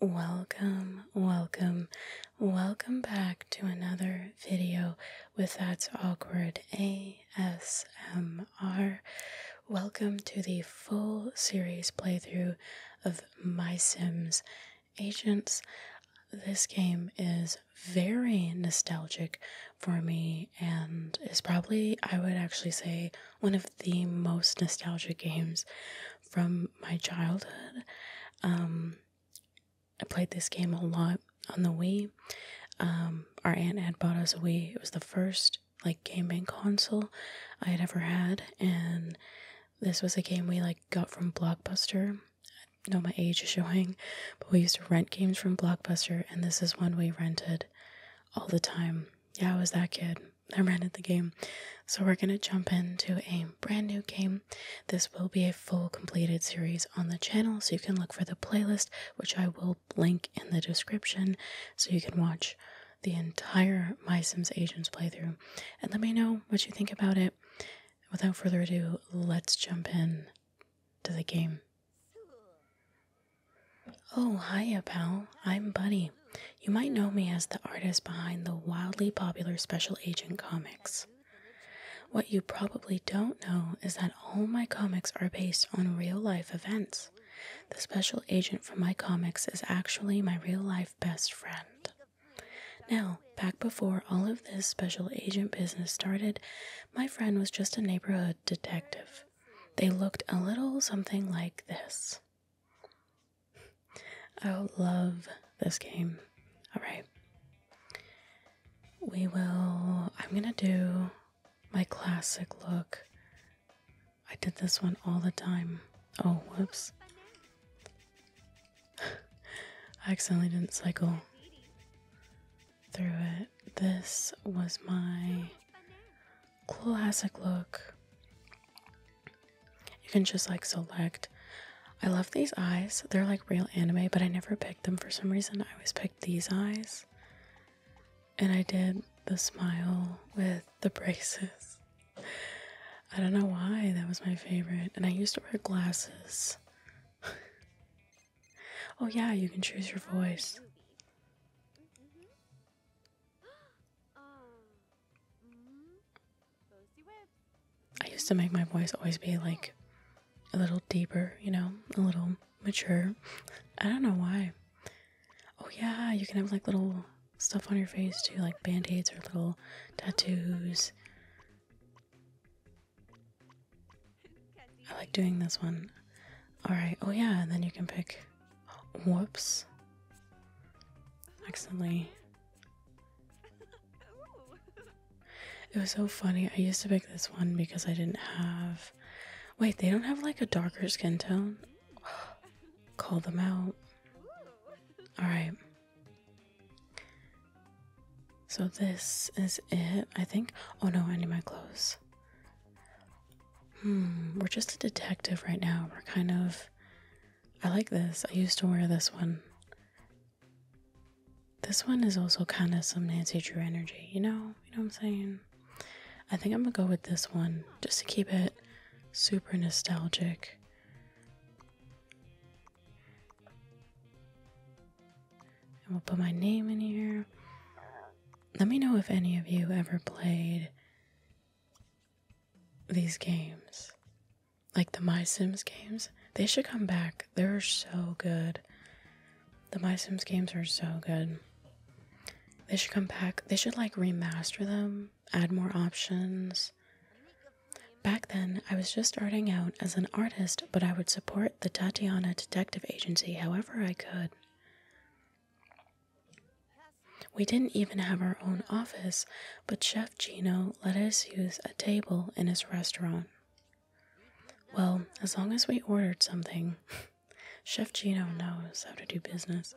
Welcome, welcome, welcome back to another video with That's Awkward ASMR. Welcome to the full series playthrough of My Sims Agents. This game is very nostalgic for me and is probably, I would actually say, one of the most nostalgic games from my childhood. Um, I played this game a lot on the Wii. Um, our aunt had bought us a Wii. It was the first like gaming console I had ever had, and this was a game we like got from Blockbuster. I know my age is showing, but we used to rent games from Blockbuster, and this is one we rented all the time. Yeah, I was that kid. I rented the game. So we're going to jump into a brand new game. This will be a full completed series on the channel, so you can look for the playlist, which I will link in the description, so you can watch the entire My Sims Agents playthrough. And let me know what you think about it. Without further ado, let's jump in to the game. Oh, hiya, pal. I'm Buddy. You might know me as the artist behind the wildly popular Special Agent comics. What you probably don't know is that all my comics are based on real life events. The special agent from my comics is actually my real life best friend. Now, back before all of this special agent business started, my friend was just a neighborhood detective. They looked a little something like this i love this game. Alright. We will. I'm gonna do my classic look. I did this one all the time. Oh, whoops. I accidentally didn't cycle through it. This was my classic look. You can just like select. I love these eyes. They're like real anime, but I never picked them for some reason. I always picked these eyes. And I did the smile with the braces. I don't know why that was my favorite. And I used to wear glasses. oh, yeah, you can choose your voice. I used to make my voice always be like a little deeper, you know, a little mature. I don't know why. Oh, yeah, you can have like little stuff on your face too, like band aids or little tattoos. I like doing this one. Alright, oh, yeah, and then you can pick. Whoops. Accidentally it was so funny. I used to pick this one because I didn't have. Wait, they don't have like a darker skin tone? Call them out. Alright. So this is it, I think. Oh no, I need my clothes. Hmm, we're just a detective right now. We're kind of I like this. I used to wear this one. This one is also kind of some Nancy Drew energy, you know? You know what I'm saying? I think I'm gonna go with this one just to keep it super nostalgic. And we'll put my name in here. Let me know if any of you ever played these games like the My Sims games. They should come back. They're so good. The My Sims games are so good. They should come back. They should like remaster them, add more options. Back then, I was just starting out as an artist, but I would support the Tatiana Detective Agency however I could. We didn't even have our own office, but Chef Gino let us use a table in his restaurant. Well, as long as we ordered something, Chef Gino knows how to do business.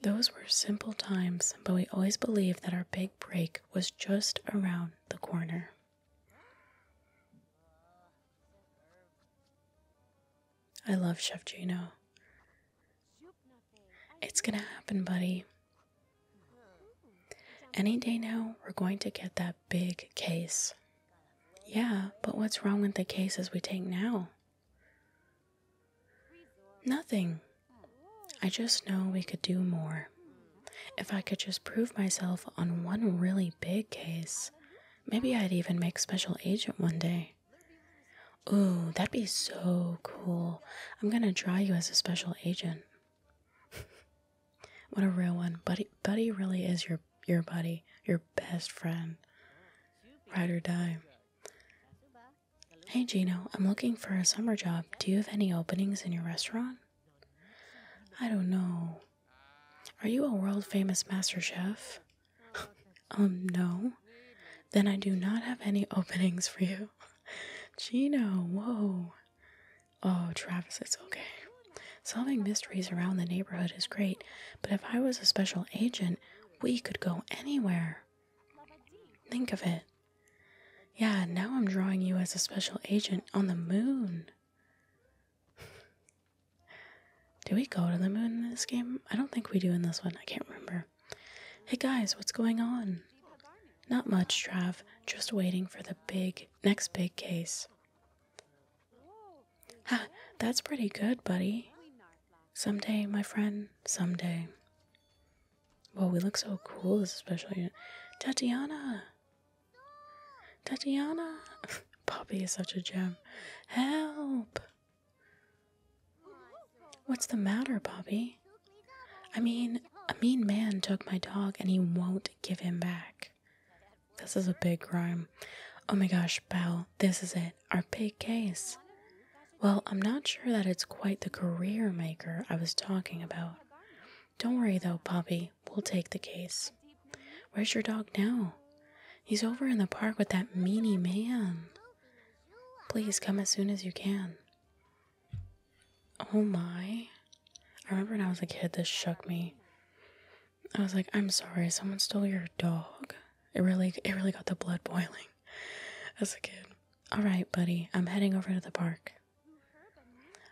Those were simple times, but we always believed that our big break was just around the corner. I love Chef Gino. It's gonna happen, buddy. Any day now, we're going to get that big case. Yeah, but what's wrong with the cases we take now? Nothing. I just know we could do more. If I could just prove myself on one really big case, maybe I'd even make special agent one day. Oh, that'd be so cool. I'm gonna try you as a special agent. what a real one. Buddy Buddy really is your your buddy, your best friend. Ride or die. Hey Gino, I'm looking for a summer job. Do you have any openings in your restaurant? I don't know. Are you a world famous master chef? um, no. Then I do not have any openings for you. Gino, whoa. Oh, Travis, it's okay. Solving mysteries around the neighborhood is great, but if I was a special agent, we could go anywhere. Think of it. Yeah, now I'm drawing you as a special agent on the moon. do we go to the moon in this game? I don't think we do in this one. I can't remember. Hey guys, what's going on? Not much, Trav. Just waiting for the big next big case. that's pretty good, buddy. Someday, my friend, someday. Well, we look so cool, this special Tatiana! Tatiana! Poppy is such a gem. Help! What's the matter, Bobby? I mean, a mean man took my dog and he won't give him back. This is a big crime. Oh my gosh, Belle, this is it, our big case. Well, I'm not sure that it's quite the career maker I was talking about. Don't worry though, Bobby, we'll take the case. Where's your dog now? He's over in the park with that meany man. Please come as soon as you can. Oh my. I remember when I was a kid, this shook me. I was like, I'm sorry, someone stole your dog. It really it really got the blood boiling as a kid. Alright, buddy, I'm heading over to the park.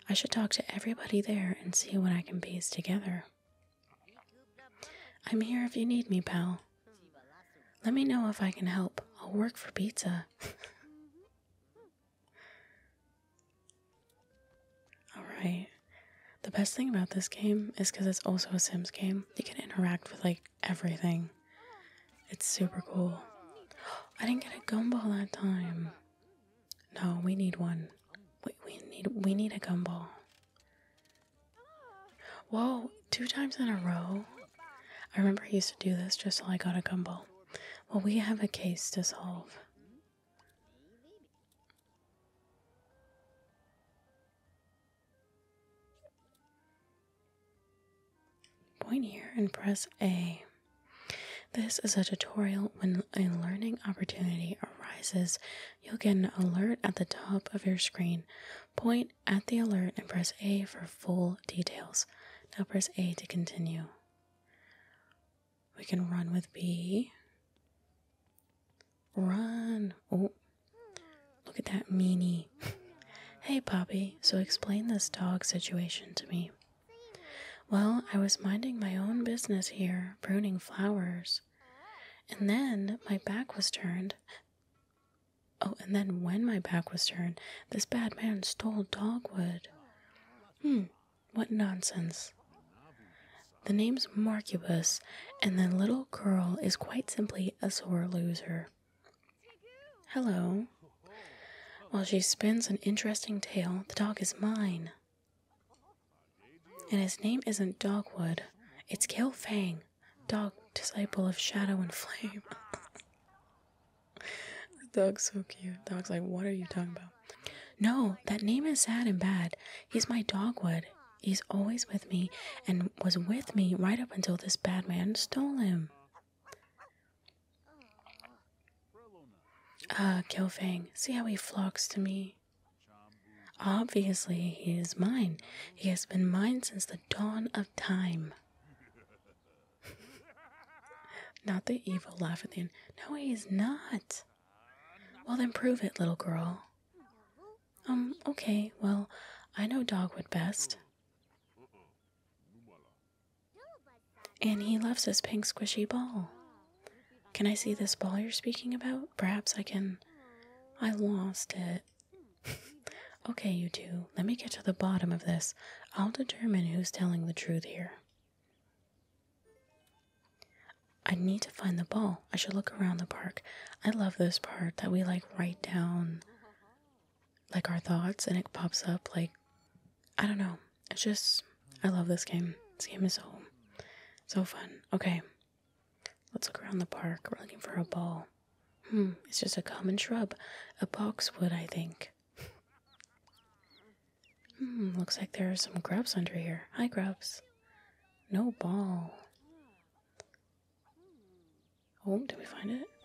I should talk to everybody there and see what I can piece together. I'm here if you need me, pal. Let me know if I can help. I'll work for pizza. Alright. The best thing about this game is because it's also a Sims game, you can interact with like everything. It's super cool. I didn't get a gumball that time. No, we need one. We, we need we need a gumball. Whoa, two times in a row. I remember he used to do this just till I got a gumball. Well, we have a case to solve. Point here and press A. This is a tutorial when a learning opportunity arises. You'll get an alert at the top of your screen. Point at the alert and press A for full details. Now press A to continue. We can run with B. Run. Oh, look at that meanie. hey, Poppy, so explain this dog situation to me. Well, I was minding my own business here, pruning flowers. And then my back was turned Oh, and then when my back was turned, this bad man stole dogwood. Hm, what nonsense. The name's Marcubus, and the little girl is quite simply a sore loser. Hello. While she spins an interesting tale, the dog is mine. And his name isn't Dogwood, it's Kale dog disciple of Shadow and Flame. the dog's so cute. dog's like, what are you talking about? No, that name is sad and bad. He's my dogwood. He's always with me and was with me right up until this bad man stole him. Ah, Kilfang, see how he flocks to me. Obviously, he is mine. He has been mine since the dawn of time. Not the evil laugh at the end. No, he's not. Well, then prove it, little girl. Um, okay, well, I know Dogwood best. And he loves his pink squishy ball. Can I see this ball you're speaking about? Perhaps I can. I lost it. Okay, you two, let me get to the bottom of this. I'll determine who's telling the truth here. I need to find the ball. I should look around the park. I love this part that we like write down like our thoughts and it pops up like I don't know. It's just I love this game. This game is so so fun. Okay. Let's look around the park. We're looking for a ball. Hmm, it's just a common shrub. A boxwood, I think. Hmm, looks like there are some grubs under here. Hi, grubs. No ball. Oh, did we find it?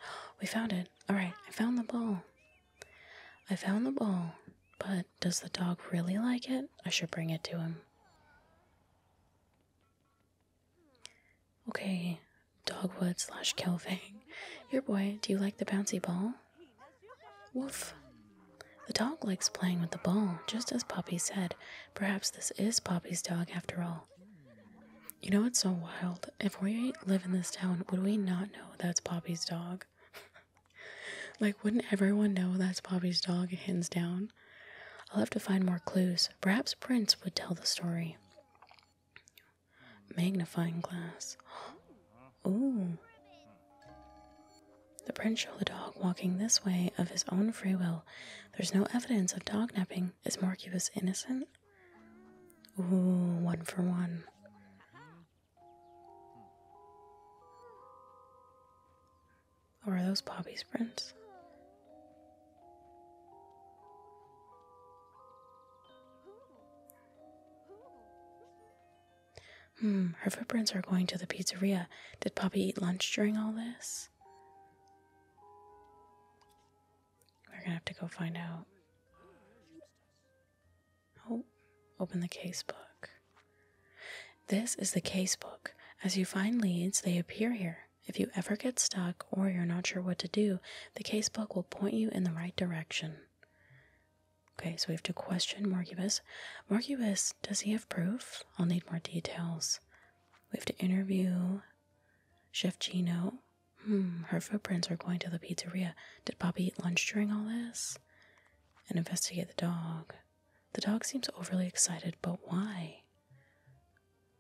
We found it. Alright, I found the ball. I found the ball. But does the dog really like it? I should bring it to him. Okay, Dogwood slash Kelving. Your boy, do you like the bouncy ball? Woof. The dog likes playing with the ball, just as Poppy said. Perhaps this is Poppy's dog after all. You know it's so wild? If we live in this town, would we not know that's Poppy's dog? like, wouldn't everyone know that's Poppy's dog, hands down? I'll have to find more clues. Perhaps Prince would tell the story. Magnifying glass. Ooh. The prints show the dog walking this way of his own free will. There's no evidence of dog napping. Is Morcubus innocent? Ooh, one for one. are those Poppy's prints? Hmm, her footprints are going to the pizzeria. Did Poppy eat lunch during all this? We're gonna have to go find out. Oh, open the casebook. This is the casebook. As you find leads, they appear here. If you ever get stuck or you're not sure what to do, do, the casebook will point you in the right direction. Okay, so we have to question Marcubus. Marcubus, does he have proof? I'll need more details. We have to interview Chef Gino. Hmm, her footprints are going to the pizzeria. Did Bobby eat lunch during all this? And investigate the dog. The dog seems overly excited, but why?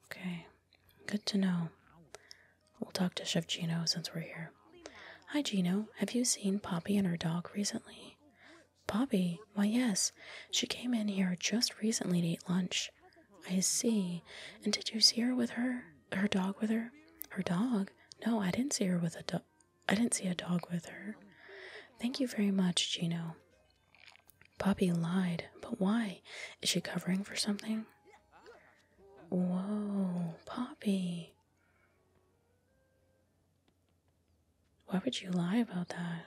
Okay. Good to know. We'll talk to Chef Gino since we're here. Hi, Gino. Have you seen Poppy and her dog recently? Poppy? Why, yes. She came in here just recently to eat lunch. I see. And did you see her with her? Her dog with her? Her dog? No, I didn't see her with a dog. I didn't see a dog with her. Thank you very much, Gino. Poppy lied, but why? Is she covering for something? Whoa, Poppy. Why would you lie about that?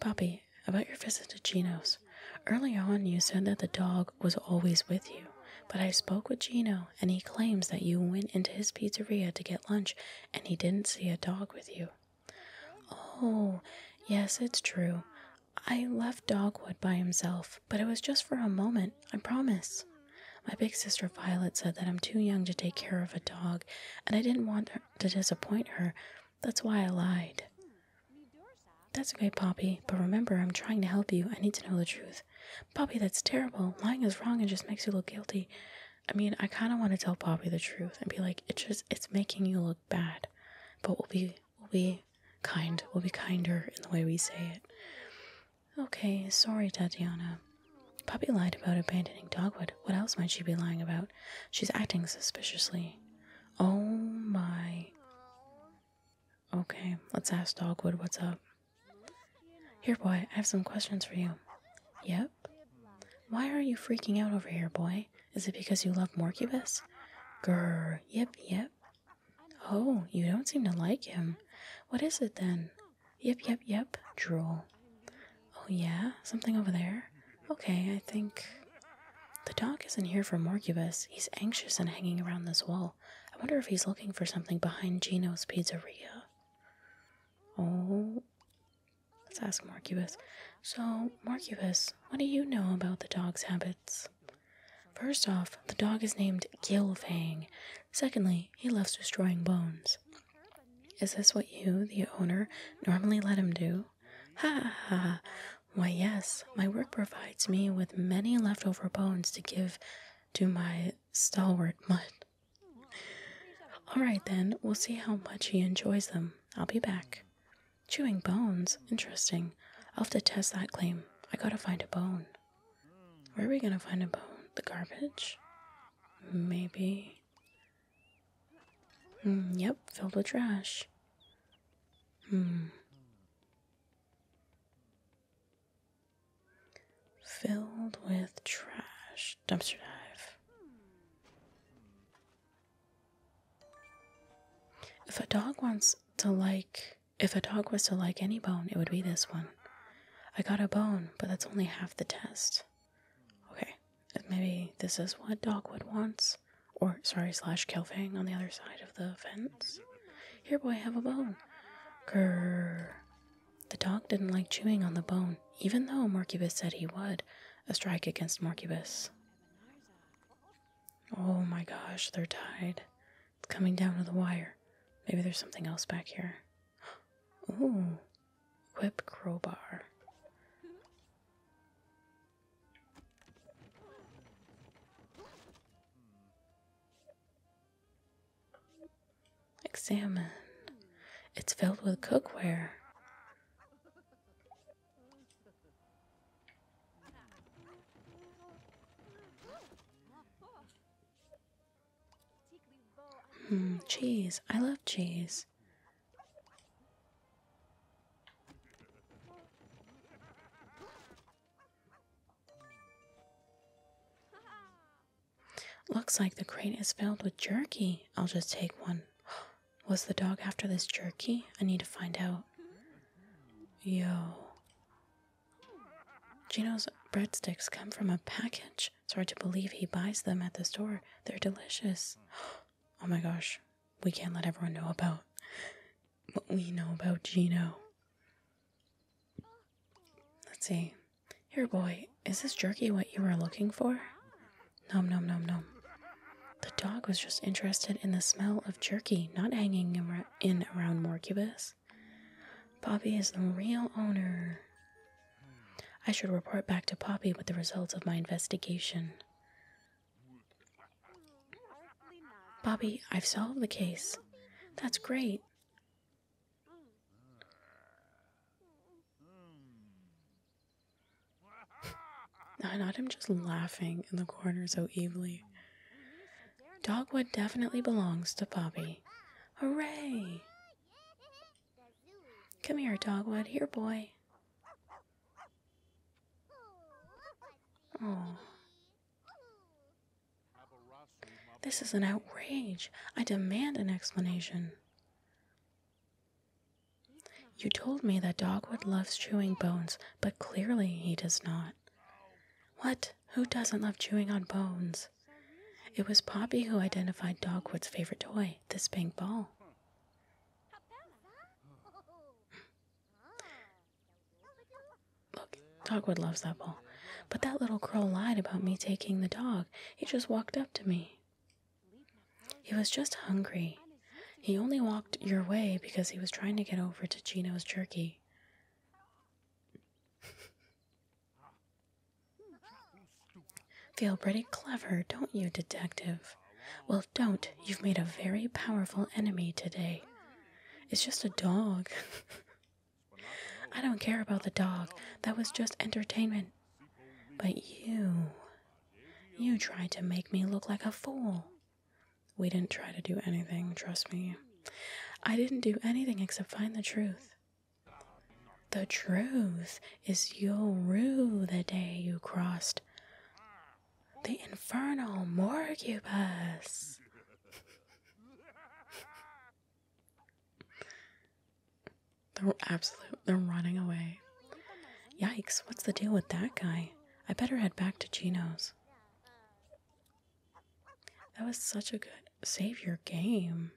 Poppy, about your visit to Gino's. Early on, you said that the dog was always with you, but I spoke with Gino, and he claims that you went into his pizzeria to get lunch and he didn't see a dog with you. Oh, yes, it's true. I left Dogwood by himself, but it was just for a moment, I promise. My big sister Violet said that I'm too young to take care of a dog, and I didn't want to disappoint her. That's why I lied. That's great, Poppy, but remember, I'm trying to help you. I need to know the truth. Poppy, that's terrible. Lying is wrong and just makes you look guilty. I mean, I kind of want to tell Poppy the truth and be like, it's just, it's making you look bad. But we'll be We'll be kind. We'll be kinder in the way we say it. Okay, sorry, Tatiana. Puppy lied about abandoning Dogwood. What else might she be lying about? She's acting suspiciously. Oh my. Okay, let's ask Dogwood what's up. Here, boy, I have some questions for you. Yep. Why are you freaking out over here, boy? Is it because you love Morcubus? Grr, yep, yep, Oh, you don't seem to like him. What is it then? Yep, yep, yep. Drool. Oh, yeah? Something over there? Okay, I think. The dog isn't here for Morcubus. He's anxious and hanging around this wall. I wonder if he's looking for something behind Gino's pizzeria. Oh. Let's ask Morcubus. So, Morcubus, what do you know about the dog's habits? First off, the dog is named Gilfang. Secondly, he loves destroying bones. Is this what you, the owner, normally let him do? Ha ha ha. Why, yes, my work provides me with many leftover bones to give to my stalwart mutt. All right, then, we'll see how much he enjoys them. I'll be back. Chewing bones? Interesting. I'll have to test that claim. I gotta find a bone. Where are we gonna find a bone? The garbage? Maybe. Hmm, yep, filled with trash. Hmm. Filled with trash. Dumpster dive. If a dog wants to, like, if a dog was to like any bone, it would be this one. I got a bone, but that's only half the test. Okay, maybe this is what Dogwood wants. Or, sorry, slash Kelfang on the other side of the fence. Here, boy, have a bone. Grrr. The dog didn't like chewing on the bone, even though Morcubus said he would. A strike against Morcubus. Oh my gosh, they're tied. It's coming down to the wire. Maybe there's something else back here. Ooh, whip crowbar. Examine. It's filled with cookware. Hmm, cheese. I love cheese. Looks like the crate is filled with jerky. I'll just take one. Was the dog after this jerky? I need to find out. Yo, Gino's breadsticks come from a package. It's hard to believe he buys them at the store. They're delicious. Oh my gosh, we can't let everyone know about what we know about Gino. Let's see. Here, boy, is this jerky what you were looking for? Nom nom nom nom. The dog was just interested in the smell of jerky, not hanging in in around Morcubus. Poppy is the real owner. I should report back to Poppy with the results of my investigation. Poppy, I've solved the case. That's great. I'd. Not him just laughing in the corner so evilly. Dogwood definitely belongs to Bobby. Hooray! Come here, Dogwood. Here, boy. Oh. This is an outrage. I demand an explanation. You told me that Dogwood loves chewing bones, but clearly he does not. What? Who doesn't love chewing on bones? It was Poppy who identified Dogwood's favorite toy, this pink ball. Look, Dogwood loves that ball. But that little crow lied about me taking the dog. He just walked up to me. He was just hungry. He only walked your way because he was trying to get over to Gino's jerky. Feel pretty clever, don't you, detective? Well, don't. You've made a very powerful enemy today. It's just a dog. I don't care about the dog. That was just entertainment. But you. You tried to make me look like a fool. We didn't try to do anything, trust me. I didn't do anything except find the truth. The truth is you'll rue the day you crossed the infernal morcubus. They're absolute. They're running away. Yikes! What's the deal with that guy? I better head back to Gino's. That was such a good save your game.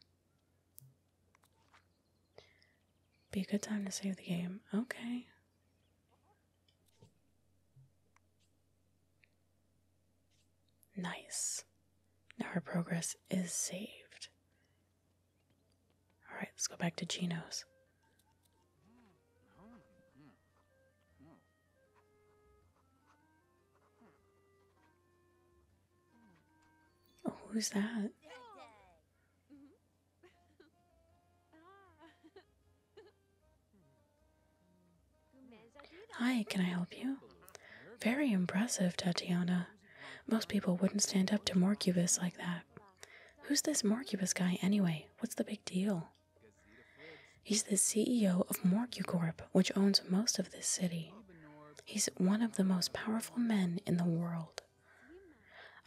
Be a good time to save the game. Okay. Nice. Now our progress is saved. Alright, let's go back to Chino's. Oh, who's that? Hi, can I help you? Very impressive, Tatiana. Most people wouldn't stand up to Morcubus like that. Who's this Morcubus guy anyway? What's the big deal? He's the CEO of Morcucorp, which owns most of this city. He's one of the most powerful men in the world.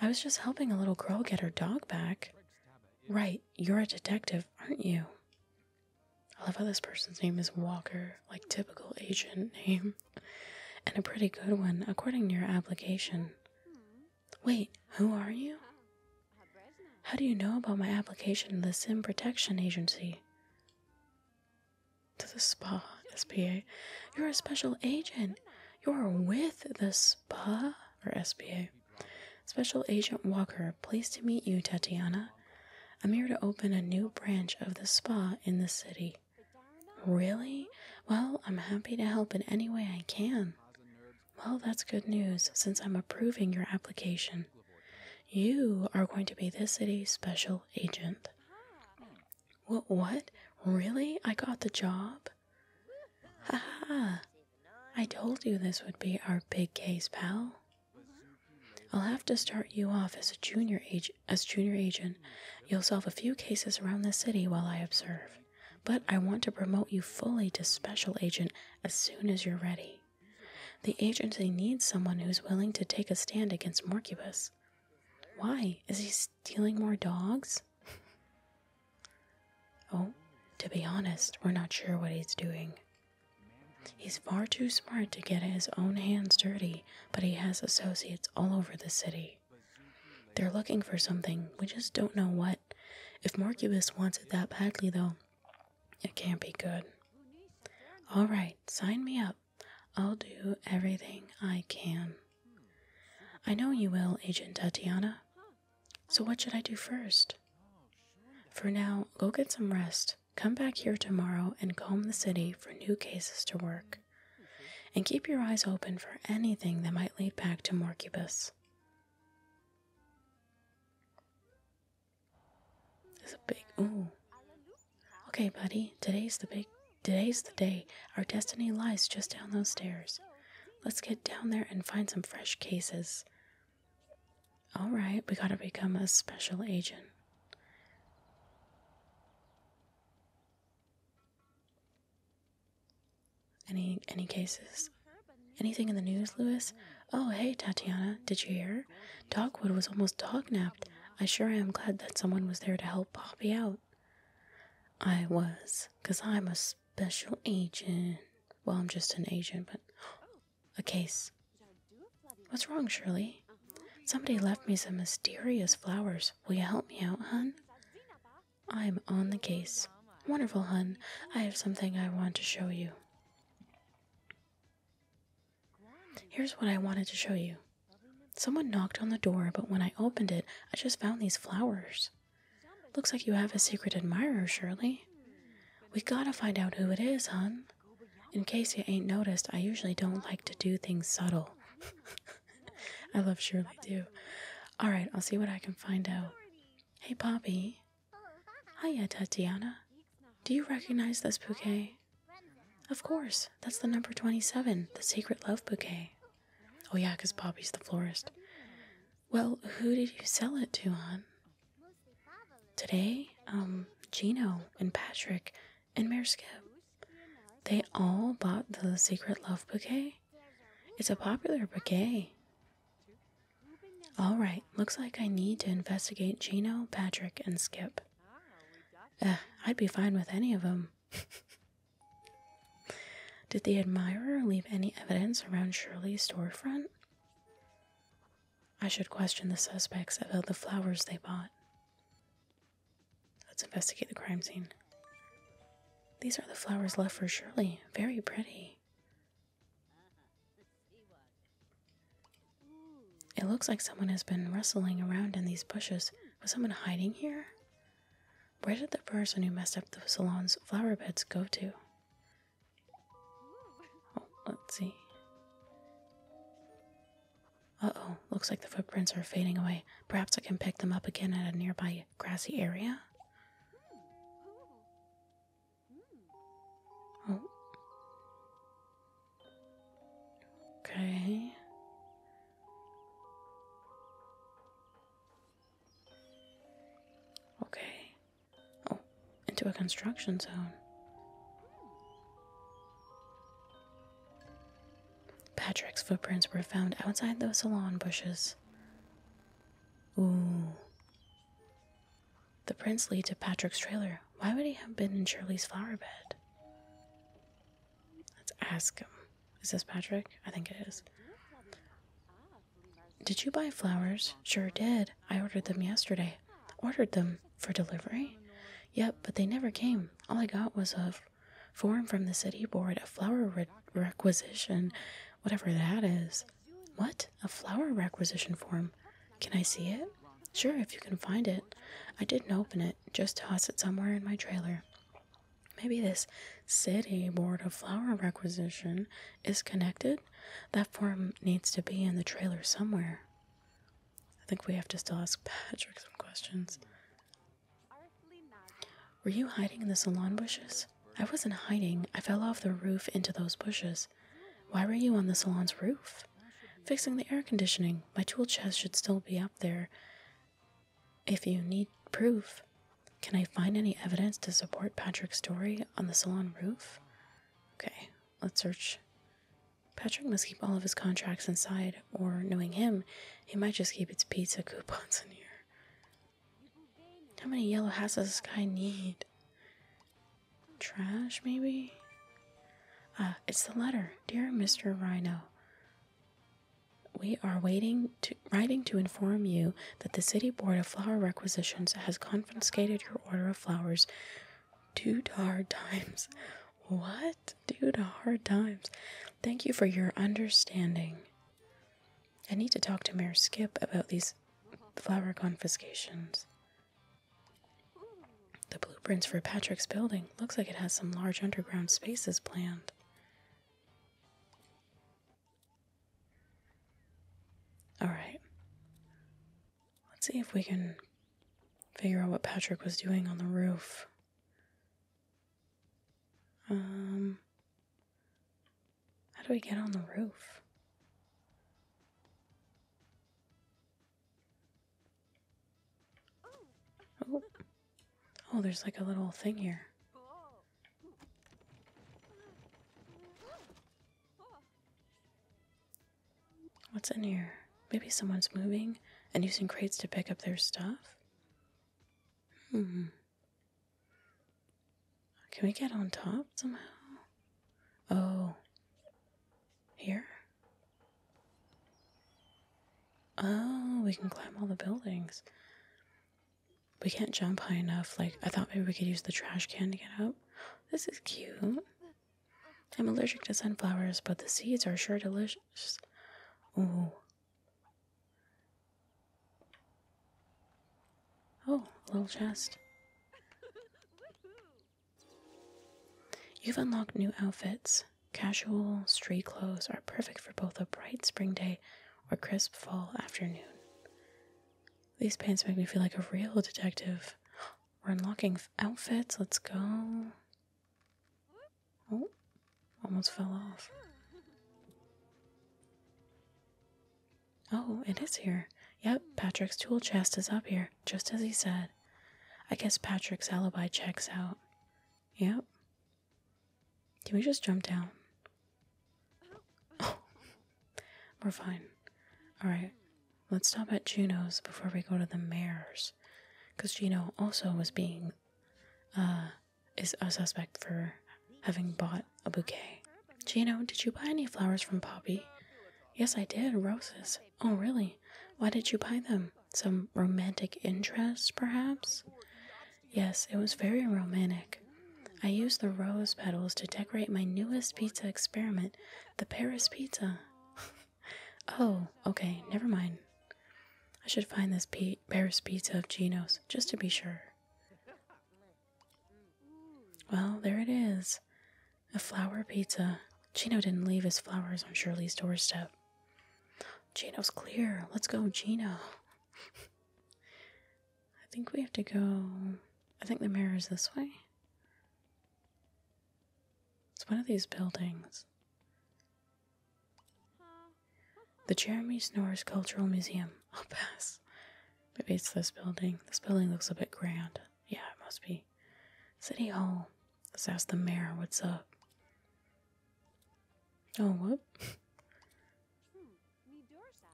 I was just helping a little girl get her dog back. Right, you're a detective, aren't you? I love how this person's name is Walker, like typical agent name. And a pretty good one, according to your application. Wait, who are you? How do you know about my application to the Sim Protection Agency? To the SPA, SPA. You're a special agent. You're with the SPA, or SPA. Special Agent Walker, pleased to meet you, Tatiana. I'm here to open a new branch of the SPA in the city. Really? Well, I'm happy to help in any way I can. Well, that's good news since I'm approving your application. You are going to be this city's special agent. What? What? Really? I got the job? Ha ha! I told you this would be our big case, pal. I'll have to start you off as a junior agent. as junior agent. You'll solve a few cases around the city while I observe. But I want to promote you fully to special agent as soon as you're ready. The agency needs someone who's willing to take a stand against Morcubus. Why? Is he stealing more dogs? oh, to be honest, we're not sure what he's doing. He's far too smart to get his own hands dirty, but he has associates all over the city. They're looking for something, we just don't know what. If Morcubus wanted that badly, though, it can't be good. All right, sign me up. I'll do everything I can. I know you will, Agent Tatiana. So, what should I do first? For now, go get some rest. Come back here tomorrow and comb the city for new cases to work. And keep your eyes open for anything that might lead back to Morcubus. It's a big ooh. Okay, buddy. Today's the big today's the day. Our destiny lies just down those stairs. Let's get down there and find some fresh cases. Alright, we gotta become a special agent. Any any cases? Anything in the news, Louis? Oh, hey, Tatiana. Did you hear? Dogwood was almost dognapped. I sure am glad that someone was there to help Poppy out. I was, because I'm a special agent. Well, I'm just an agent, but a case. What's wrong, Shirley? Somebody left me some mysterious flowers. Will you help me out, hun? I'm on the case. Wonderful, hun. I have something I want to show you. Here's what I wanted to show you. Someone knocked on the door, but when I opened it, I just found these flowers. Looks like you have a secret admirer, Shirley. We gotta find out who it is, hon. In case you ain't noticed, I usually don't like to do things subtle. I love Shirley too. Alright, I'll see what I can find out. Hey, Poppy. Hiya, Tatiana. Do you recognize this bouquet? Of course, that's the number 27, the Secret Love Bouquet. Oh, yeah, 'cause Bobby's the florist. Well, who did you sell it to, hon? Today, um, Gino and Patrick and Mayor Skip. They all bought the Secret Love Bouquet. It's a popular bouquet. All right, looks like I need to investigate Gino, Patrick, and Skip. Ah, Ugh, I'd be fine with any of them. Did the admirer leave any evidence around Shirley's storefront? I should question the suspects about the flowers they bought. Let's investigate the crime scene. These are the flowers left for Shirley. Very pretty. It looks like someone has been rustling around in these bushes. Was someone hiding here? Where did the person who messed up the salon's flower beds go to? Oh, let's see. Uh-oh, looks like the footprints are fading away. Perhaps I can pick them up again at a nearby grassy area? Oh. Okay. Okay. Oh, into a construction zone. Patrick's footprints were found outside those salon bushes. Ooh. The prints lead to Patrick's trailer. Why would he have been in Shirley's flower bed? Let's ask him. Is this Patrick? I think it is. Did you buy flowers? Sure did. I ordered them yesterday. Ordered them for delivery? Yep, but they never came. All I got was a form from the city board, a flower requisition, whatever that is. What? A flower requisition form? Can I see it? Sure, if you can find it. I didn't open it, just tossed it somewhere in my trailer. Maybe this city board of flower requisition is connected? That form needs to be in the trailer somewhere. I think we have to still ask Patrick some questions. Were you hiding in the salon bushes? I wasn't hiding. I fell off the roof into those bushes. Why were you on the salon's roof? Fixing the air conditioning. My tool chest should still be up there. If you need proof, can I find any evidence to support Patrick's story on the salon roof? Okay, let's search. Patrick must keep all of his contracts inside, or knowing him, he might just keep his pizza coupons in here. How many yellow hats does this guy need? Trash, maybe? Uh, it's the letter. Dear Mr. Rhino, we are waiting to writing to inform you that the City Board of Flower Requisitions has confiscated your order of flowers due to hard times. What? Due to hard times. Thank you for your understanding. I need to talk to Mayor Skip about these flower confiscations. The blueprints for Patrick's building looks like it has some large underground spaces planned. Alright. Let's see if we can figure out what Patrick was doing on the roof. Um how do we get on the roof? Oh. Oh, there's like a little thing here. What's in here? Maybe someone's moving and using crates to pick up their stuff? Hmm. Can we get on top somehow? Oh. Here? Oh, we can climb all the buildings. We can't jump high enough. Like, I thought maybe we could use the trash can to get up. This is cute. I'm allergic to sunflowers, but the seeds are sure delicious. Ooh. Oh, a little chest. You've unlocked new outfits. Casual, street clothes are perfect for both a bright spring day or crisp fall afternoon. These pants make me feel like a real detective. We're unlocking outfits. Let's go. Oh, almost fell off. Oh, it is here. Yep, Patrick's tool chest is up here, just as he said. I guess Patrick's alibi checks out. Yep. Can we just jump down? Oh, we're fine. Alright, let's stop at Juno's before we go to the mayor's. Because Juno also was being, uh, is a suspect for having bought a bouquet. Gino, did you buy any flowers from Poppy? Yes, I did, roses. Oh, really? Why did you buy them? Some romantic interest, perhaps? Yes, it was very romantic. I used the rose petals to decorate my newest pizza experiment, the Paris pizza. oh, okay, never mind. I should find this Paris pizza of Gino's, just to be sure. Well, there it is. A flower pizza. Gino didn't leave his flowers on Shirley's doorstep. Gino's clear. Let's go, Gino. I think we have to go. I think the mirror is this way. It's one of these buildings. The Jeremy Snorris Cultural Museum. I'll pass. Maybe it's this building. This building looks a bit grand. Yeah, it must be. City Hall. Let's ask the mayor what's up. Oh, what?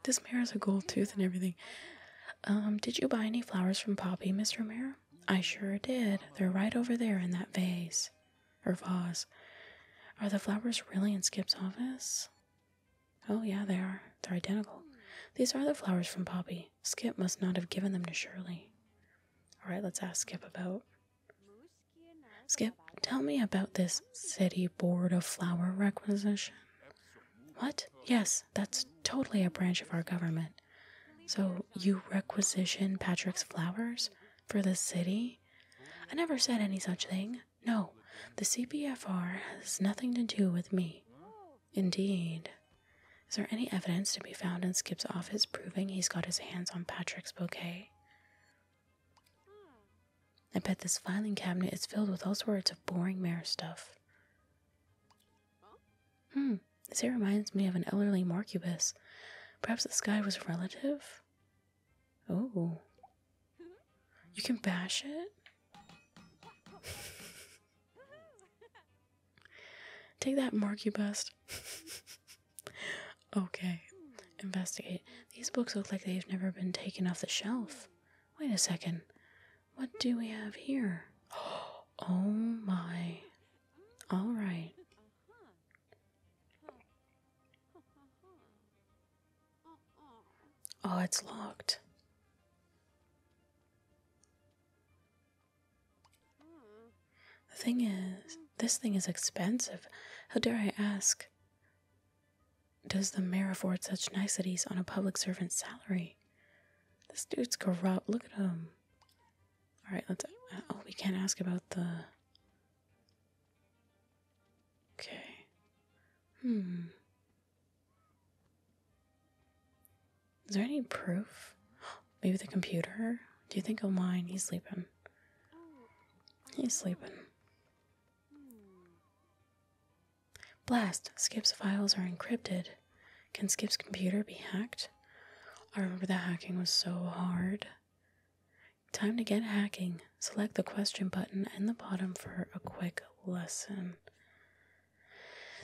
this mayor has a gold tooth and everything. Um, did you buy any flowers from Poppy, Mr. Mayor? I sure did. They're right over there in that vase. Or vase. Are the flowers really in Skip's office? Oh, yeah, they are. They're identical. These are the flowers from Poppy. Skip must not have given them to Shirley. All right, let's ask Skip about. Skip, tell me about this city board of flower requisition. What? Yes, that's totally a branch of our government. So you requisition Patrick's flowers for the city? I never said any such thing. No, the CPFR has nothing to do with me. Indeed. Is there any evidence to be found in Skip's office proving he's got his hands on Patrick's bouquet? I bet this filing cabinet is filled with all sorts of boring mayor stuff. Hmm, this here reminds me of an elderly Marcubus. Perhaps this guy was a relative? Oh. You can bash it? Take that, Bust. okay. Investigate. These books look like they've never been taken off the shelf. Wait a second. What do we have here? Oh my. All right. Oh, it's locked. The thing is, this thing is expensive. How dare I ask? Does the mayor afford such niceties on a public servant's salary? This dude's corrupt. Look at him. All right, let's. Uh, oh, we can't ask about the. Okay. Hmm. Is there any proof? Maybe the computer? Do you think he'll mind? He's sleeping. He's sleeping. Blast! Skip's files are encrypted. Can Skip's computer be hacked? I remember that hacking was so hard. Time to get hacking. Select the question button in the bottom for a quick lesson.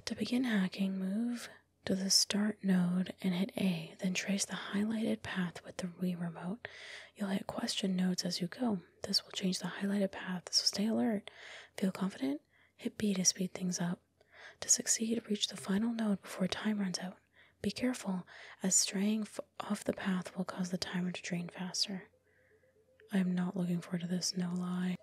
To begin hacking, move to the Start node and hit A, then trace the highlighted path with the Wii Remote. You'll hit question nodes as you go. This will change the highlighted path, so stay alert. Feel confident? Hit B to speed things up. To succeed, reach the final node before time runs out. Be careful, as straying off the path will cause the timer to drain faster. I'm not looking forward to this, no lie.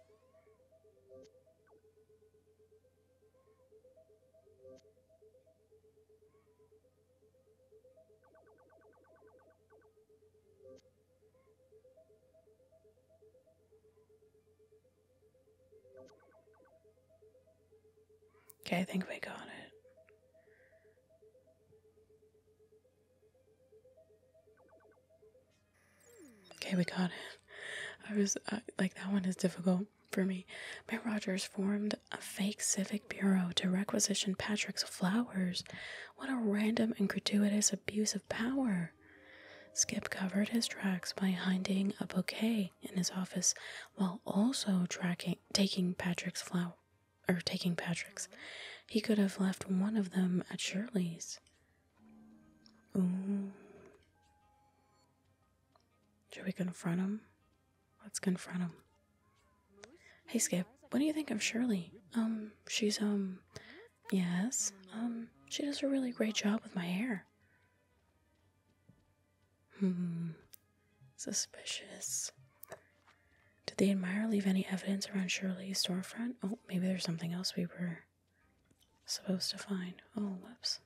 Okay, I think we got it. Okay, we got it. I was uh, like, that one is difficult for me. Mayor Rogers formed a fake civic bureau to requisition Patrick's flowers. What a random and gratuitous abuse of power! Skip covered his tracks by hiding a bouquet in his office while also tracking taking Patrick's flower or taking Patrick's. He could have left one of them at Shirley's. Should we confront him? Let's confront him. Hey, Skip. What do you think of Shirley? Um, she's, um, yes. Um, she does a really great job with my hair. Hmm. Suspicious. Did the admirer leave any evidence around Shirley's storefront? Oh, maybe there's something else we were supposed to find. all oh, whoops.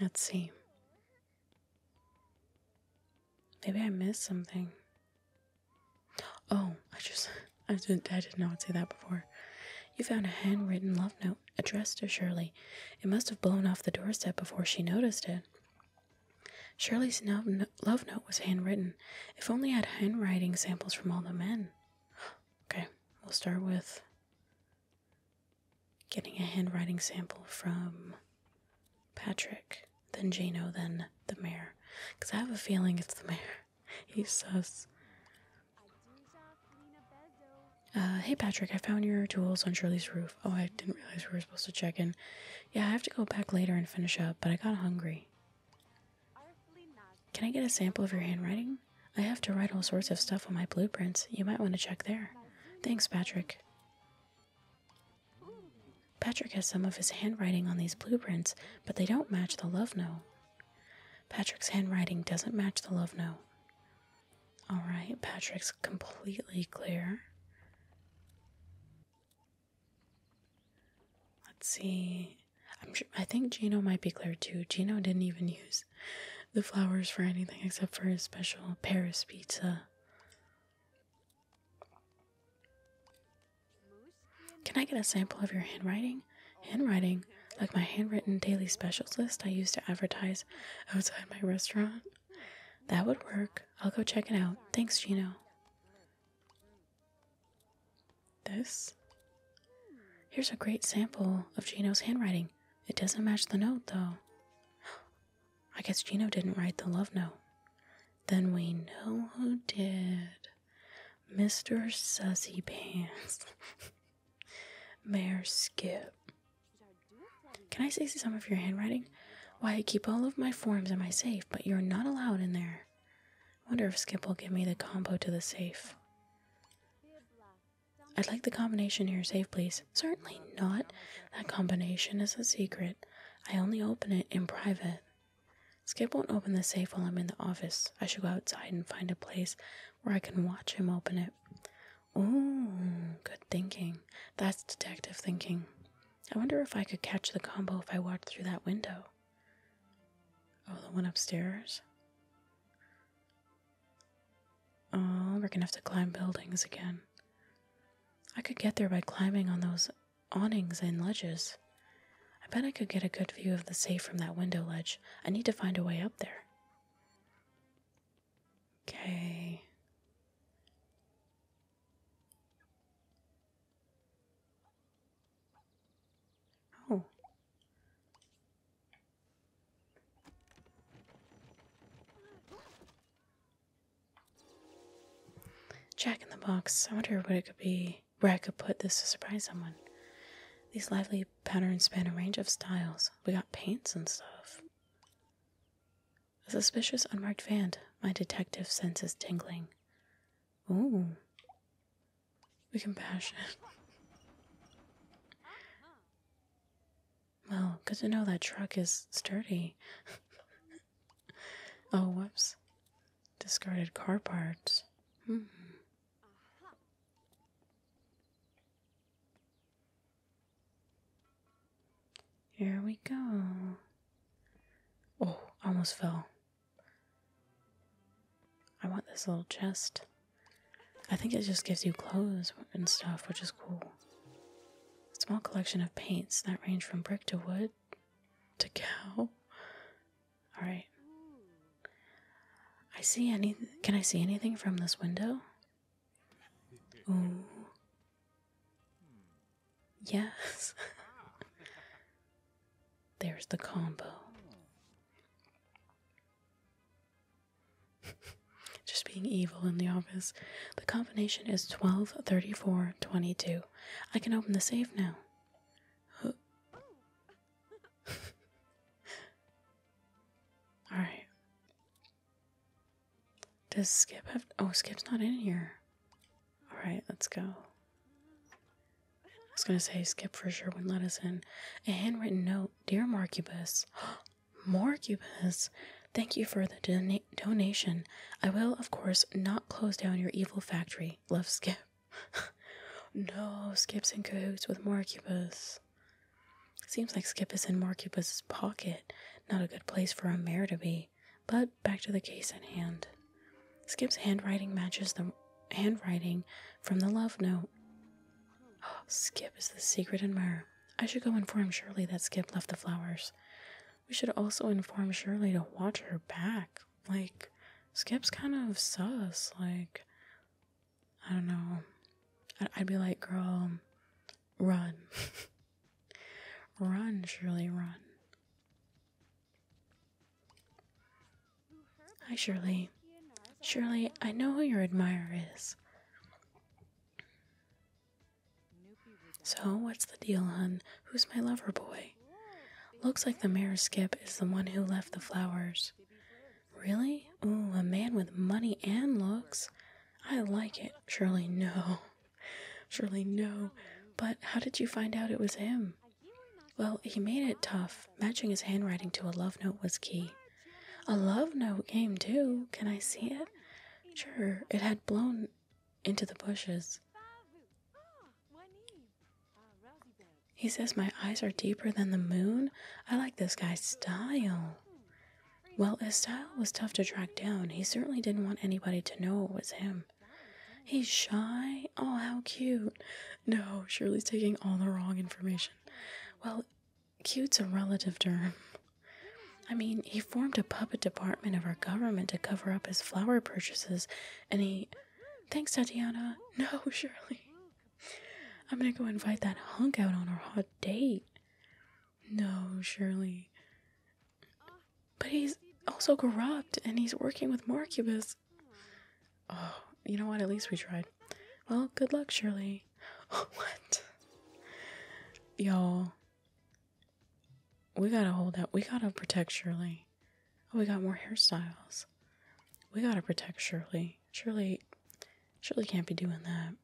Let's see. Maybe I missed something. Oh, I just I didn't I did not say that before. You found a handwritten love note addressed to Shirley. It must have blown off the doorstep before she noticed it. Shirley snub one love note was handwritten. If only I had handwriting samples from all the men. Okay, we'll start with getting a handwriting sample from Patrick, then Jano, then the mayor. Because I have a feeling it's the mayor. He sus. Uh, hey Patrick, I found your tools on Shirley's roof. Oh, I didn't realize we were supposed to check in. Yeah, I have to go back later and finish up, but I got hungry. Can I get a sample of your handwriting? I have to write all sorts of stuff on my blueprints. You might want to check there. Thanks, Patrick. Patrick has some of his handwriting on these blueprints, but they don't match the love note. Patrick's handwriting doesn't match the love note. Alright, Patrick's completely clear. Let's see. i think Gino might be clear too. Gino didn't even use the flowers for anything except for his special Paris pizza. Can I get a sample of your handwriting? Handwriting? Like my handwritten daily specials list I used to advertise outside my restaurant? That would work. I'll go check it out. Thanks, Gino. This? Here's a great sample of Gino's handwriting. It doesn't match the note, though. I guess Gino didn't write the love note. Then we know who did. Mr. Sussy Pants. Mayor Skip. Can I see some of your handwriting? Why, I keep all of my forms in my safe, but you're not allowed in there wonder if Skip will give me the combo to the safe. I'd like the combination here safe, please. Certainly not. That combination is a secret. I only open it in private. Skip won't open the safe while I'm in the office. I should go outside and find a place where I can watch him open it. Ooh, good thinking. That's detective thinking. I wonder if I could catch the combo if I walked through that window. Oh, the one upstairs? Oh, we're gonna have to climb buildings again. I could get there by climbing on those awnings and ledges. I bet I could get a good view of the safe from that window ledge. I need to find a way up there. Okay. Oh. Jack in the box. I wonder what it could be, where I could put this to surprise someone. These lively patterns span a range of styles. We got paints and stuff. A suspicious unmarked van. My detective sense is tingling. Ooh. The compassion. well, good to know that truck is sturdy. oh, whoops. Discarded car parts. Hmm. Here we go. Oh, almost fell. I want this little chest. I think it just gives you clothes and stuff, which is cool. small collection of paints that range from brick to wood to cow. Alright. I see any. Can I see anything from this window? Ooh. Yes. There's the combo. Just being evil in the office. The combination is 12, 34, 22. I can open the safe now. Alright. Does Skip have. Oh, Skip's not in here. All right, let's go. I was going to say Skip for sure would let us in. A handwritten note Dear Marcubus. Marcubus, thank you for the donation. I will, of course, not close down your evil factory. Love Skip. no, Skip's in cahoots with Marcubus. Seems like Skip is in Marcubus's pocket. Not a good place for a mayor to be. But back to the case at hand. Skip's handwriting matches the handwriting from the love note. Skip is the secret admirer. I should go inform Shirley that Skip left the flowers. We should also inform Shirley to watch her back. Like, Skip's kind of sus. Like, I don't know. I'd be like, girl, run. run, Shirley, run. Hi, Shirley. Shirley, I know who your admirer is. So, what's the deal, hun? Who's my lover boy? Looks like the mayor skip is the one who left the flowers. Really? Ooh, a man with money and looks. I like it. Shirley. no. Shirley, no. But how did you find out it was him? Well, he made it tough. Matching his handwriting to a love note was key. A love note game, too. Can I see it? Sure, it had blown into the bushes. He says my eyes are deeper than the moon. I like this guy's style. Well, his style was tough to track down. He certainly didn't want anybody to know it was him. He's shy? Oh, how cute. No, Shirley's taking all the wrong information. Well, cute's a relative term. I mean, he formed a puppet department of our government to cover up his flower purchases, and he. Thanks, Tatiana. No, Shirley. I'm gonna go invite that hunk out on our hot date. No, Shirley. But he's also corrupt, and he's working with Marcubus. Oh, you know what? At least we tried. Well, good luck, Shirley. what? Y'all, we gotta hold out. We gotta protect Shirley. Oh, we got more hairstyles. We gotta protect Shirley. Shirley, Shirley can't be doing that.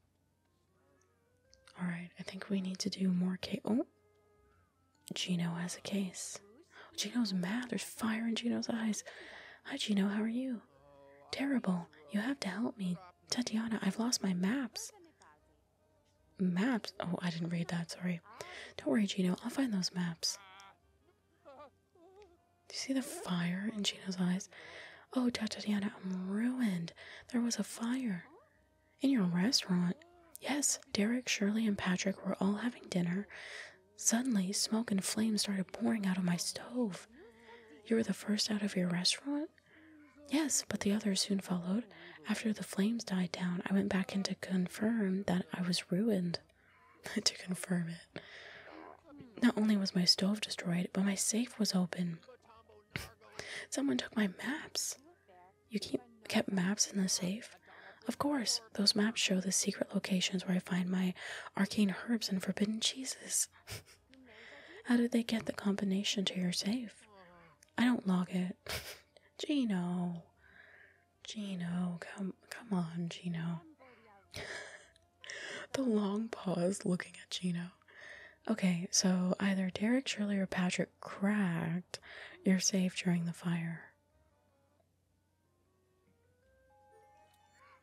All right, I think we need to do more cake. Oh. Gino has a case. Gino's mad. There's fire in Gino's eyes. Hi, Gino. How are you? Terrible. You have to help me. Tatiana, I've lost my maps. Maps? Oh, I didn't read that. Sorry. Don't worry, Gino. I'll find those maps. Do you see the fire in Gino's eyes? Oh, Tatiana, I'm ruined. There was a fire. In your restaurant? Yes, Derek, Shirley, and Patrick were all having dinner. Suddenly, smoke and flames started pouring out of my stove. You were the first out of your restaurant? Yes, but the others soon followed. After the flames died down, I went back in to confirm that I was ruined. to confirm it. Not only was my stove destroyed, but my safe was open. Someone took my maps. You kept maps in the safe? Of course, those maps show the secret locations where I find my arcane herbs and forbidden cheeses. How did they get the combination to your safe? I don't log it. Gino. Gino, come come on, Gino. the long pause looking at Gino. Okay, so either Derek Shirley or Patrick cracked your safe during the fire.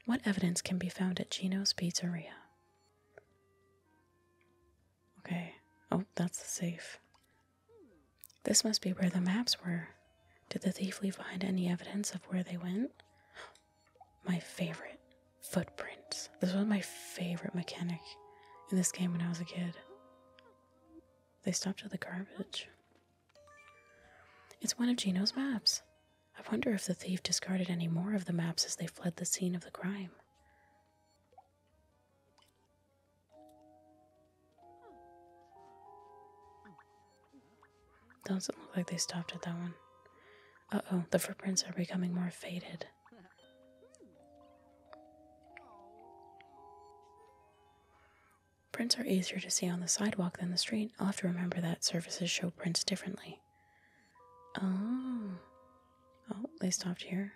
What evidence can be found at Chino's Pizzeria? Okay. Oh, that's the safe. This must be where the maps were. Did the thief leave any evidence of where they went? My favorite footprints. This was my favorite mechanic in this game when I was a kid. They stopped at the garbage. It's one of Gino's maps. I wonder if the thief discarded any more of the maps as they fled the scene of the crime. Doesn't look like they stopped at that one. Uh oh, the footprints are becoming more faded. Prints are easier to see on the sidewalk than the street. I'll have to remember that services show prints differently. Oh. Oh, they stopped here.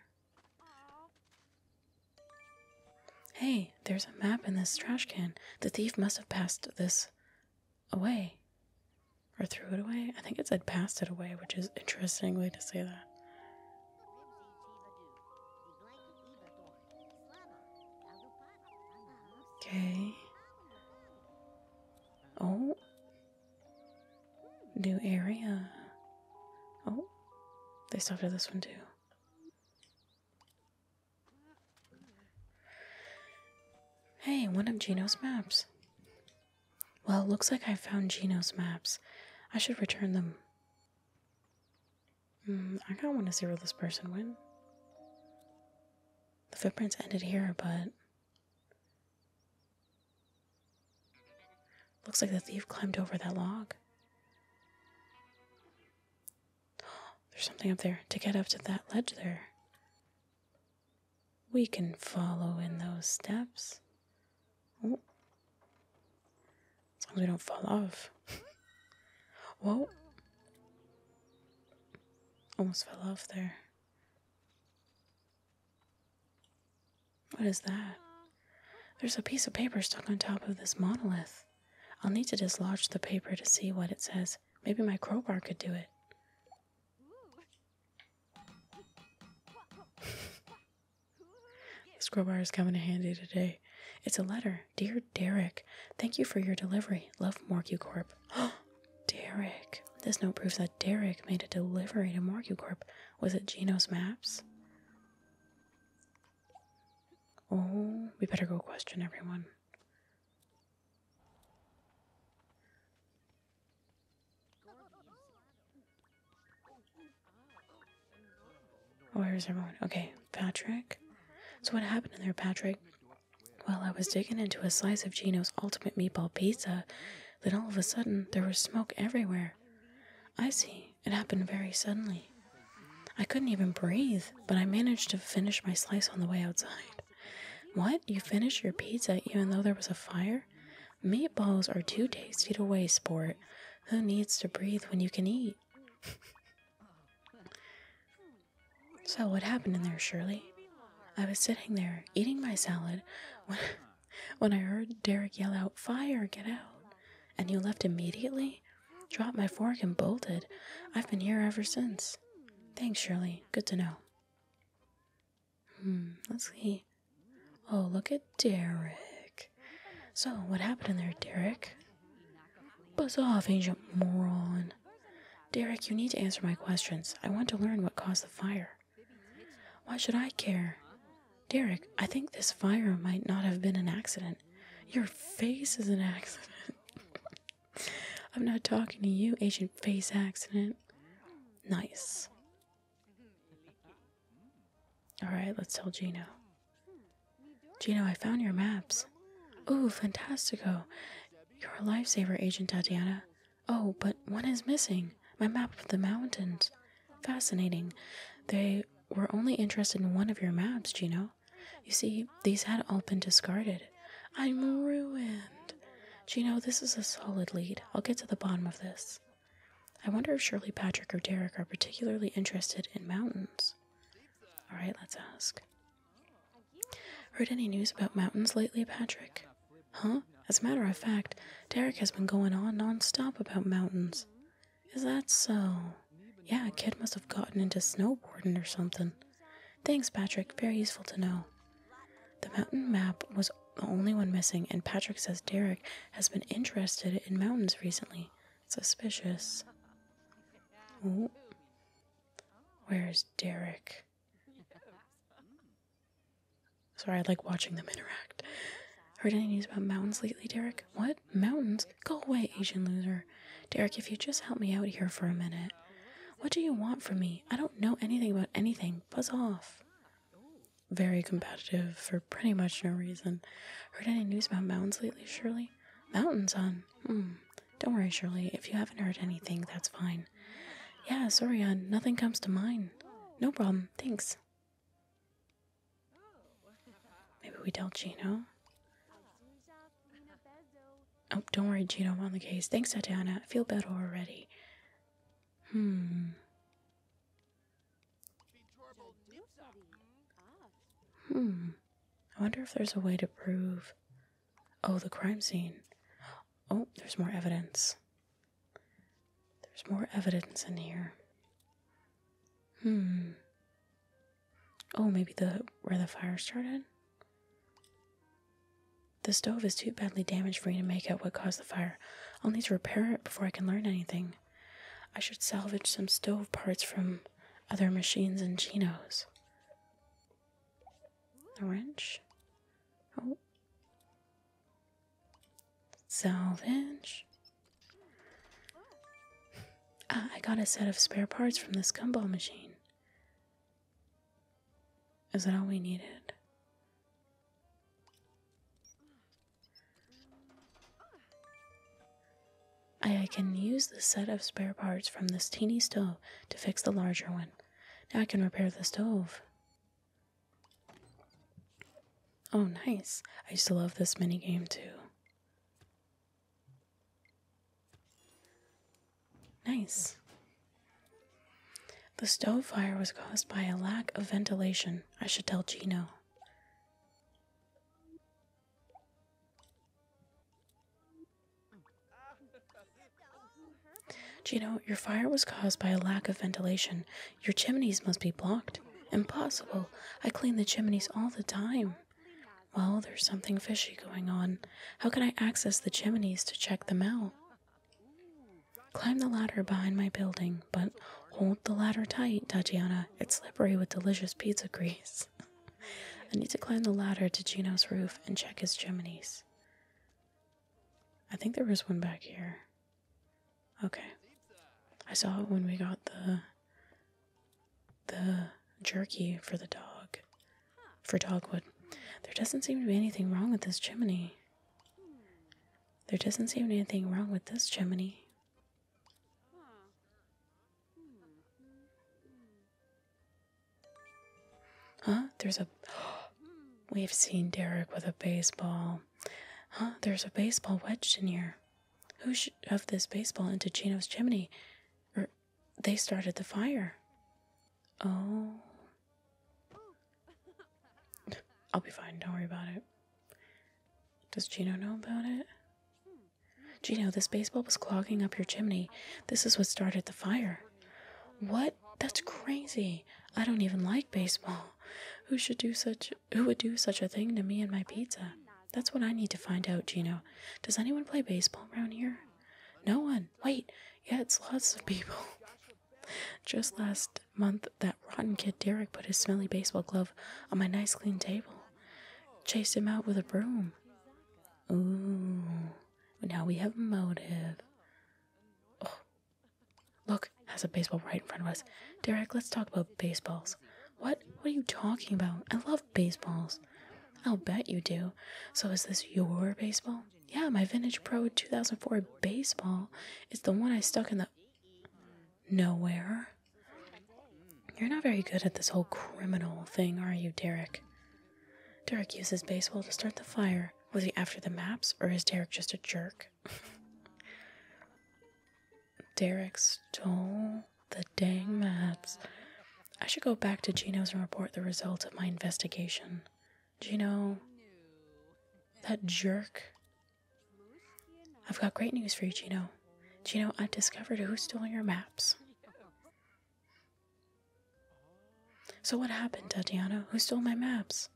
Hey, there's a map in this trash can. The thief must have passed this away. Or threw it away? I think it said passed it away, which is interesting way to say that. Okay. Oh. New area. Oh. They stopped at this one too. Hey, one of Gino's maps. Well, it looks like I found Gino's maps. I should return them. Mm, I kind of want to see where this person went. The footprints ended here, but. Looks like the thief climbed over that log. There's something up there to get up to that ledge there. We can follow in those steps. Oh. As long as we don't fall off. Whoa. Almost fell off there. What is that? There's a piece of paper stuck on top of this monolith. I'll need to dislodge the paper to see what it says. Maybe my crowbar could do it. this crowbar is coming in handy today. It's a letter Dear Derek, thank you for your delivery. Love Morgucorp. Derek. This note proves that Derek made a delivery to Morgucorp. Was it Gino's maps? Oh, we better go question everyone. Where's oh, everyone? Okay, Patrick. So what happened in there, Patrick? Well, I was digging into a slice of Gino's ultimate meatball pizza, then all of a sudden there was smoke everywhere. I see. It happened very suddenly. I couldn't even breathe, but I managed to finish my slice on the way outside. What? You finished your pizza even though there was a fire? Meatballs are too tasty to waste, sport. Who needs to breathe when you can eat? So, what happened in there, Shirley? I was sitting there eating my salad when, I heard Derek yell out, Fire, get out! And you left immediately? Dropped my fork and bolted. I've been here ever since. Thanks, Shirley. Good to know. Hmm, let's see. Oh, look at Derek. So, what happened in there, Derek? Buzz off, Agent moron. Derek, you need to answer my questions. I want to learn what caused the fire. Why should I care? Derek, I think this fire might not have been an accident. Your face is an accident. I'm not talking to you, Agent face accident. Nice. Alright, let's tell Gino. Gino, I found your maps. Oh, fantastico. You're a lifesaver, Agent Tatiana. Oh, but one is missing my map of the mountains. Fascinating. They were only interested in one of your maps, Gino. You see, these had all been discarded. I'm ruined. Gino, this is a solid lead. I'll get to the bottom of this. I wonder if Shirley Patrick or Derek are particularly interested in mountains. Alright, let's ask. Heard any news about mountains lately, Patrick? Huh? As a matter of fact, Derek has been going on nonstop about mountains. Is that so? Yeah, a kid must have gotten into snowboarding or something. Thanks, Patrick. Very useful to know. The mountain map was the only one missing, and Patrick says Derek has been interested in mountains recently. Suspicious. Oh. Where's Derek? Sorry, I like watching them interact. Heard any news about mountains lately, Derek? What? Mountains? Go away, Asian loser. Derek, if you just help me out here for a minute. What do you want from me? I don't know anything about anything. Buzz off. Very competitive for pretty much no reason. Heard any news about mountains lately, Shirley? Mountains on Mm, Don't worry, Shirley. If you haven't heard anything, that's fine. Yeah, sorry, Nothing comes to mind. No problem. Thanks. Maybe we tell Gino. Oh, don't worry, Gino. I'm on the case. Thanks, Tatiana. I feel better already. Hmm. Hmm. I wonder if there's a way to prove. Oh, the crime scene. Oh, there's more evidence. There's more evidence in here. Hmm. Oh, maybe the where the fire started? The stove is too badly damaged for me to make out what caused the fire. I'll need to repair it before I can learn anything. I should salvage some stove parts from other machines and Chino's. Orange. Oh. Salvage. Ah, I got a set of spare parts from the scumball machine. Is that all we needed? I can use the set of spare parts from this teeny stove to fix the larger one. Now I can repair the stove. Oh, nice. I used to love this minigame too. Nice. The stove fire was caused by a lack of ventilation. I should tell Gino. Gino, your fire was caused by a lack of ventilation. Your chimneys must be blocked. Impossible. I clean the chimneys all the time. Well, there's something fishy going on. How can I access the chimneys to check them out? Climb the ladder behind my building, but hold the ladder tight, Tatiana. It's slippery with delicious pizza grease. I need to climb the ladder to Gino's roof and check his chimneys. I think there was one back here. Okay. I saw it when we got the the jerky for the dog. For dogwood. There doesn't seem to be anything wrong with this chimney. There doesn't seem to be anything wrong with this chimney. Huh? There's a. We've seen Derek with a baseball. Huh? There's a baseball wedged in here. Who shoved this baseball into Chino's chimney? Or er, they started the fire. Oh. I'll be fine. Don't worry about it. Does Chino know about it? Gino, this baseball was clogging up your chimney. This is what started the fire. What? That's crazy. I don't even like baseball. Who should do such who would do such a thing to me and my pizza? That's what I need to find out, Gino. Does anyone play baseball around here? No one. Wait, yeah, it's lots of people. Just last month, that rotten kid Derek put his smelly baseball glove on my nice clean table, chased him out with a broom. Ooh. Now we have motive. Oh. Look, has a baseball right in front of us. Derek, let's talk about baseballs. What? What are you talking about? I love baseballs. I'll bet you do. So is this your baseball? Yeah, my vintage pro 2004 baseball. It's the one I stuck in the nowhere. You're not very good at this whole criminal thing, are you, Derek? Derek uses baseball to start the fire. Was he after the maps, or is Derek just a jerk? Derek stole the dang maps. I should go back to Gino's and report the result of my investigation. Gino, that jerk. I've got great news for you, Gino. Gino, I've discovered who stole your maps. So, what happened, Tatiana? Who stole my maps?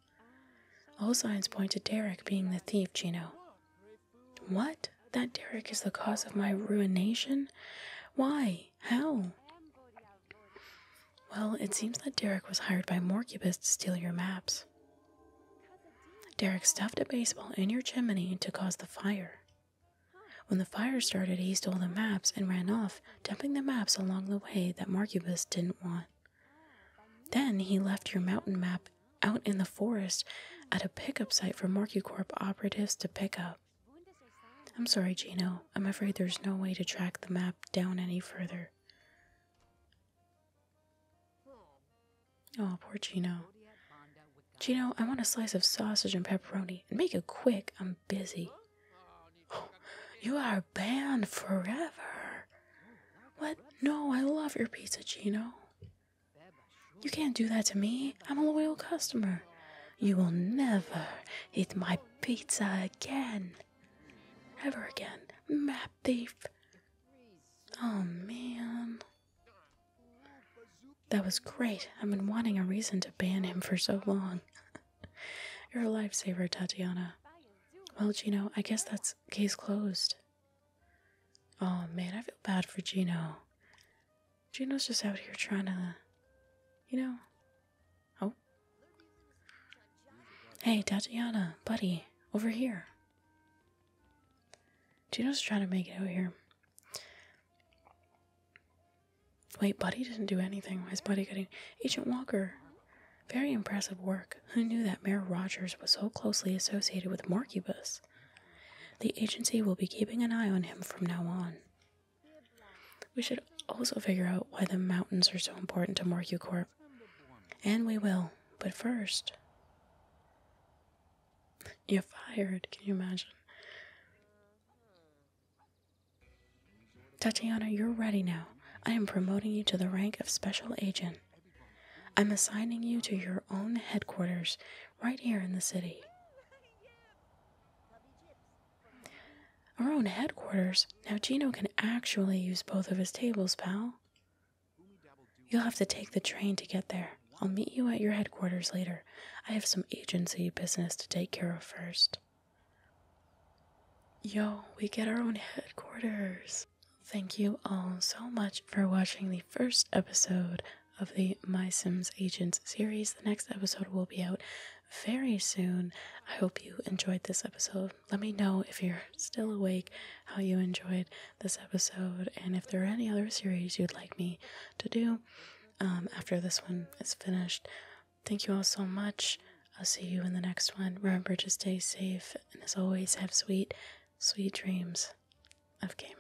All signs point to Derek being the thief, Gino. What? That Derek is the cause of my ruination? Why? How? Well, it seems that Derek was hired by Morcubus to steal your maps. Derek stuffed a baseball in your chimney to cause the fire. When the fire started, he stole the maps and ran off, dumping the maps along the way that Marcubus didn't want. Then he left your mountain map out in the forest at a pickup site for Marcucorp operatives to pick up. I'm sorry, Gino. I'm afraid there's no way to track the map down any further. Oh, poor Gino. Gino, I want a slice of sausage and pepperoni, and make it quick. I'm busy. you are banned forever. What? No, I love your pizza, Gino. You can't do that to me. I'm a loyal customer. You will never eat my pizza again. Ever again. Map thief. Oh, man. That was great. I've been wanting a reason to ban him for so long. You're a lifesaver, Tatiana. Well, Gino, I guess that's case closed. Oh man, I feel bad for Gino. Gino's just out here trying to, you know. Oh. Hey, Tatiana, buddy, over here. Gino's trying to make it out here. Wait, Buddy didn't do anything. Why is Buddy getting. Agent Walker! Very impressive work. Who knew that Mayor Rogers was so closely associated with Morcubus? The agency will be keeping an eye on him from now on. We should also figure out why the mountains are so important to Morcucorp. And we will, but first. You're fired, can you imagine? Tatiana, you're ready now. I am promoting you to the rank of special agent. I'm assigning you to your own headquarters right here in the city. Our own headquarters? Now, Gino can actually use both of his tables, pal. You'll have to take the train to get there. I'll meet you at your headquarters later. I have some agency business to take care of first. Yo, we get our own headquarters. Thank you all so much for watching the first episode of the My Sims Agents series. The next episode will be out very soon. I hope you enjoyed this episode. Let me know if you're still awake how you enjoyed this episode and if there are any other series you'd like me to do. Um, after this one is finished. Thank you all so much. I'll see you in the next one. Remember to stay safe and, as always, have sweet, sweet dreams of gaming.